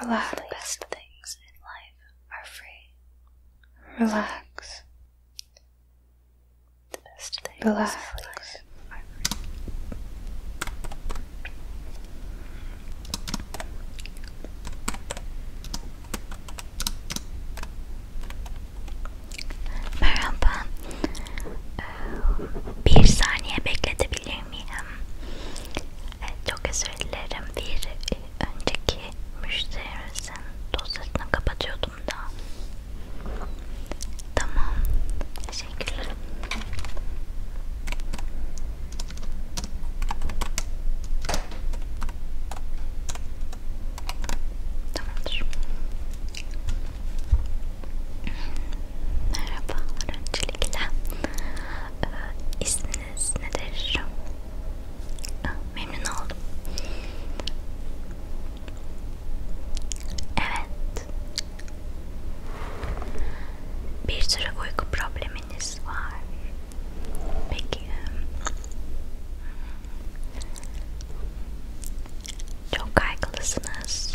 Relax. The best things in life are free. Relax. The best things Relax. in life are free. miyim? Evet, çok özür dilerim. Bir e, önceki müşterimizin dosyasını kapatıyordum da. Tamam. Teşekkürler. Tamamdır. Merhabalar öncelikle. Ee, isminiz nedir? Ee, memnun oldum. Evet. Bir sürü uyku probleminiz var. Peki. Hmm, çok kaygılısınız.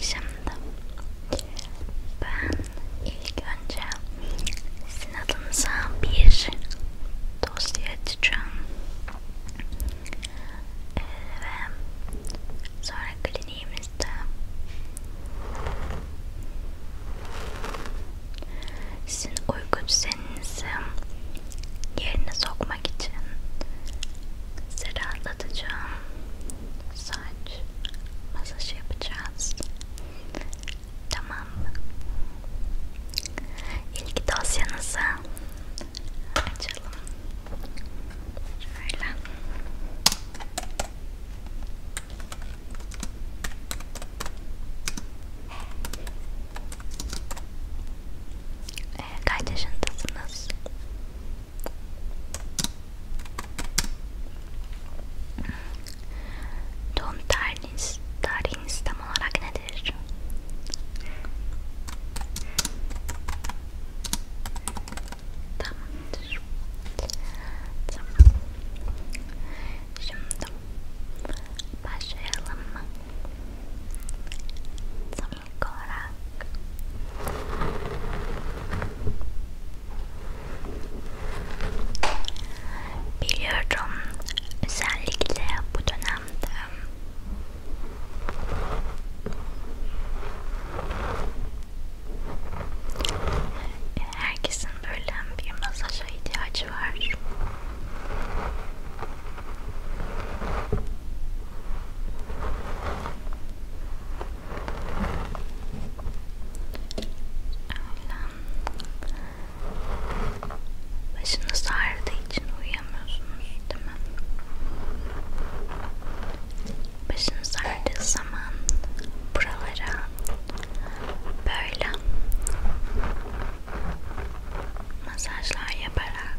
Şimdi ben ilk önce sizin adınıza bir dosya açacağım ee, ve sonra kliniğimizde sizin uyku düzeninizi yerine sokmak için sizi rahatlatacağım saç masaj yapacağız. Tamam mı? İlgi dosyanızı açalım. Şöyle. Ee, kaç yaşındasınız? Don't tarihiniz tam olarak nedir? Tamamdır. Tamam. Şimdi başlayalım ilk olarak biliyorum özellikle bu dönemde herkesin böyle bir masaja ihtiyacı var Başınız ağrıdığı için uyuyamıyorsunuz değil mi? Başınız ağrıdığı zaman buralara böyle masajlar yaparak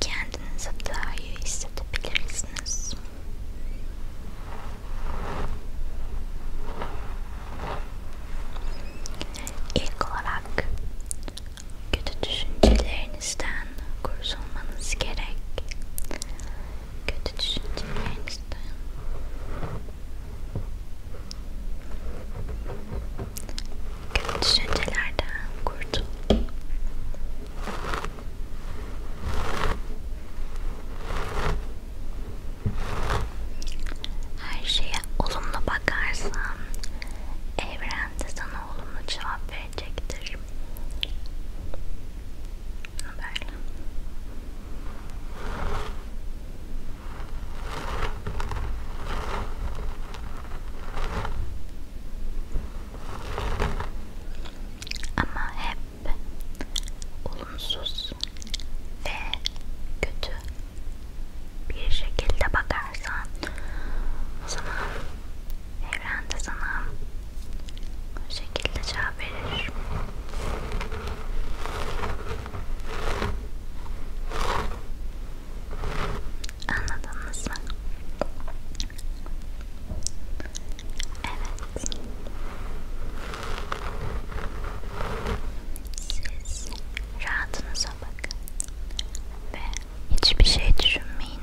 Kendinizi daha iyi hissedebilirsiniz. İlk olarak kötü düşüncelerinizden kurtulmanız gerek kötü düşüncelerinizden kötü düşüncelerden kurtulun her şeye olumlu bakarsan evren de sana olumlu cevap verecektir Böyle. Ama hep olumsuz ve kötü bir şekilde bakarsan o zaman evrende sana bu şekilde cevap verir. Anladınız mı? Evet. Siz rahatınıza bakın ve hiçbir şey düşünmeyin.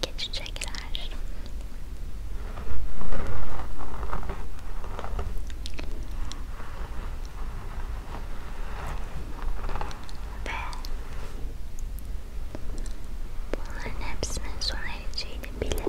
Get to check it out. Ve bunların hepsinin sona ereceğini bile tamam.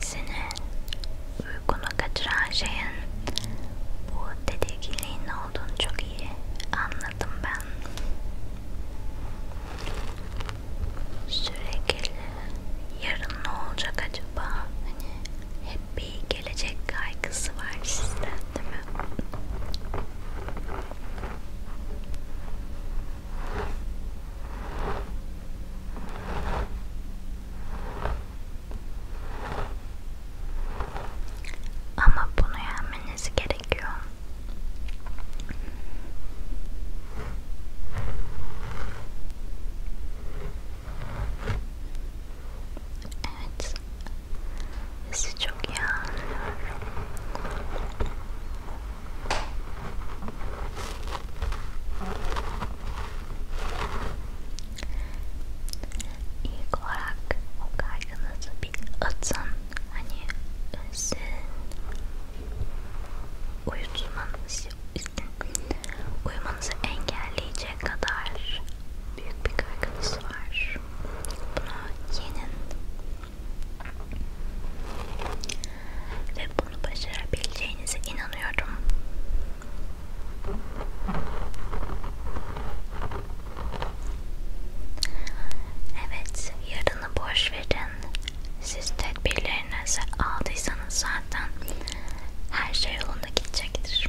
Seni uykunu kaçıran şeyin bu tedirginliğin olduğunu çok iyi anladım ben. Sürekli yarın ne olacak acaba? Hani hep bir gelecek kaygısı var sizde değil mi? Ama bunu yenmeniz gerekiyor. Evet, sizi çok iyi anlıyorum. İlk olarak o kaygınızı bir atın. Hani sizin uyutmanızı, uyumanızı engelleyecek kadar büyük bir kaygınız var. Buna yenin. Ve bunu başarabileceğinize inanıyorum. Evet, yarını boş verin. Siz tedbirlerinizi aldıysanız zaten her şey yolunda gidecektir.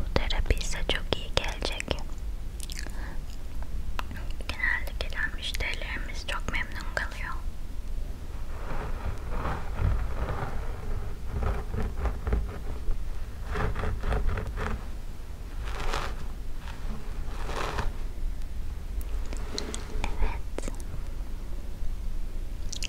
Bu terapi ise çok iyi gelecek. Genelde gelen müşterilerimiz çok memnun kalıyor. Evet.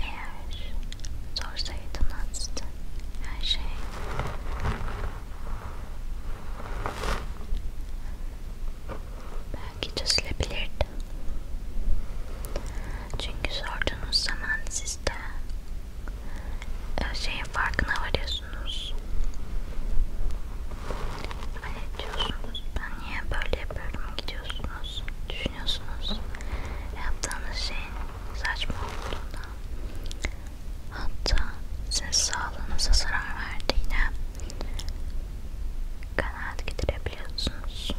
Eğer sorsaydınız her şey belki çözülebilirdi. Çünkü sorduğunuz zaman siz de e, şeyin farkına varıyorsunuz. Hani diyorsunuz ben niye böyle yapıyorum gidiyorsunuz musunuz? Düşünüyorsunuz yaptığınız şeyin saçma olduğundan hatta sizin sağlığınıza zarar verdiğine kanaat getirebiliyorsunuz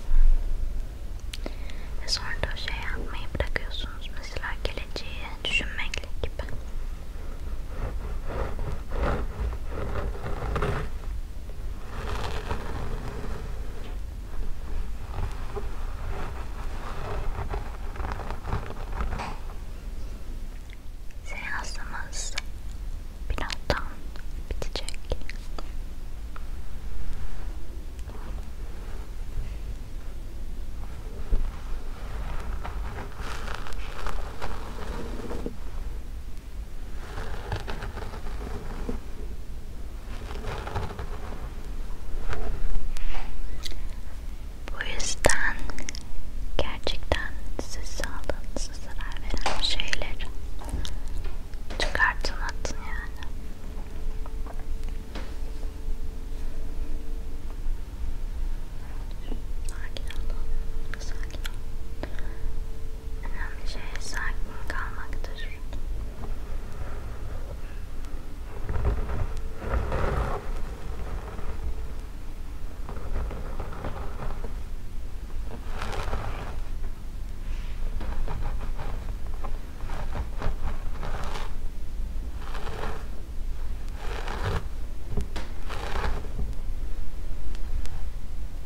ve sonra da o şey yapmayı bırakıyorsunuz mesela geleceği düşünmekle gibi Seansımız birazdan bitecek. Bu yüzden gerçekten siz sağlığınıza zarar veren şeyleri çıkartın atın yani. Sakin ol, sakin ol. Önemli şey sakin kalmaktır.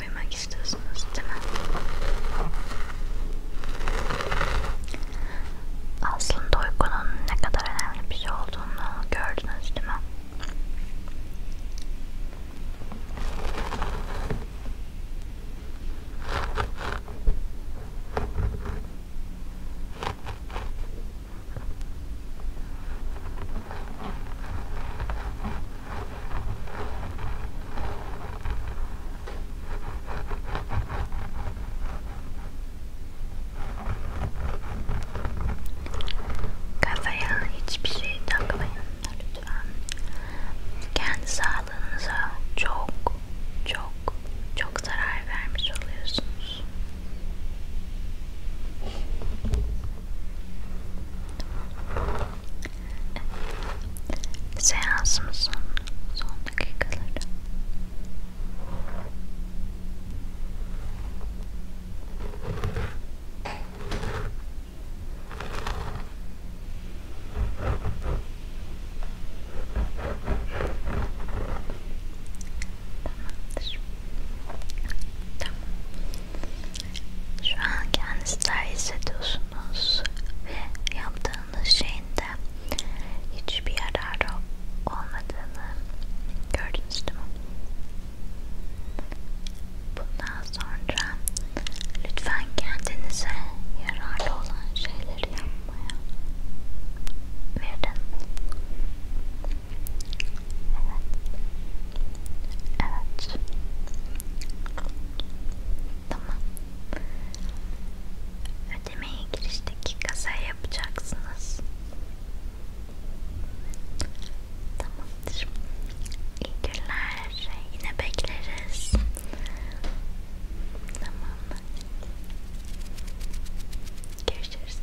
Uyumak istiyorsunuz değil mi? Aslında uykunun ne kadar önemli bir şey olduğunu gördünüz değil mi? Kafaya hiçbir şey takmayın lütfen. Kendi sağlığınıza çok çok çok zarar vermiş oluyorsunuz. Seansımsın son dakikaları Tamamdır. Tamam. Şu an kendinizler hissediyorsunuz ve yaptığınız şeyin de hiçbir yararı olmadığını gördünüz değil mi? Bundan sonra lütfen kendinize yararlı olan şeyleri yapmaya verin. Evet. Tamam. Ödemeye girişteki kasaya yapacaksınız. Tamamdır. İyi günler. Yine bekleriz. Tamam. Görüşürüz.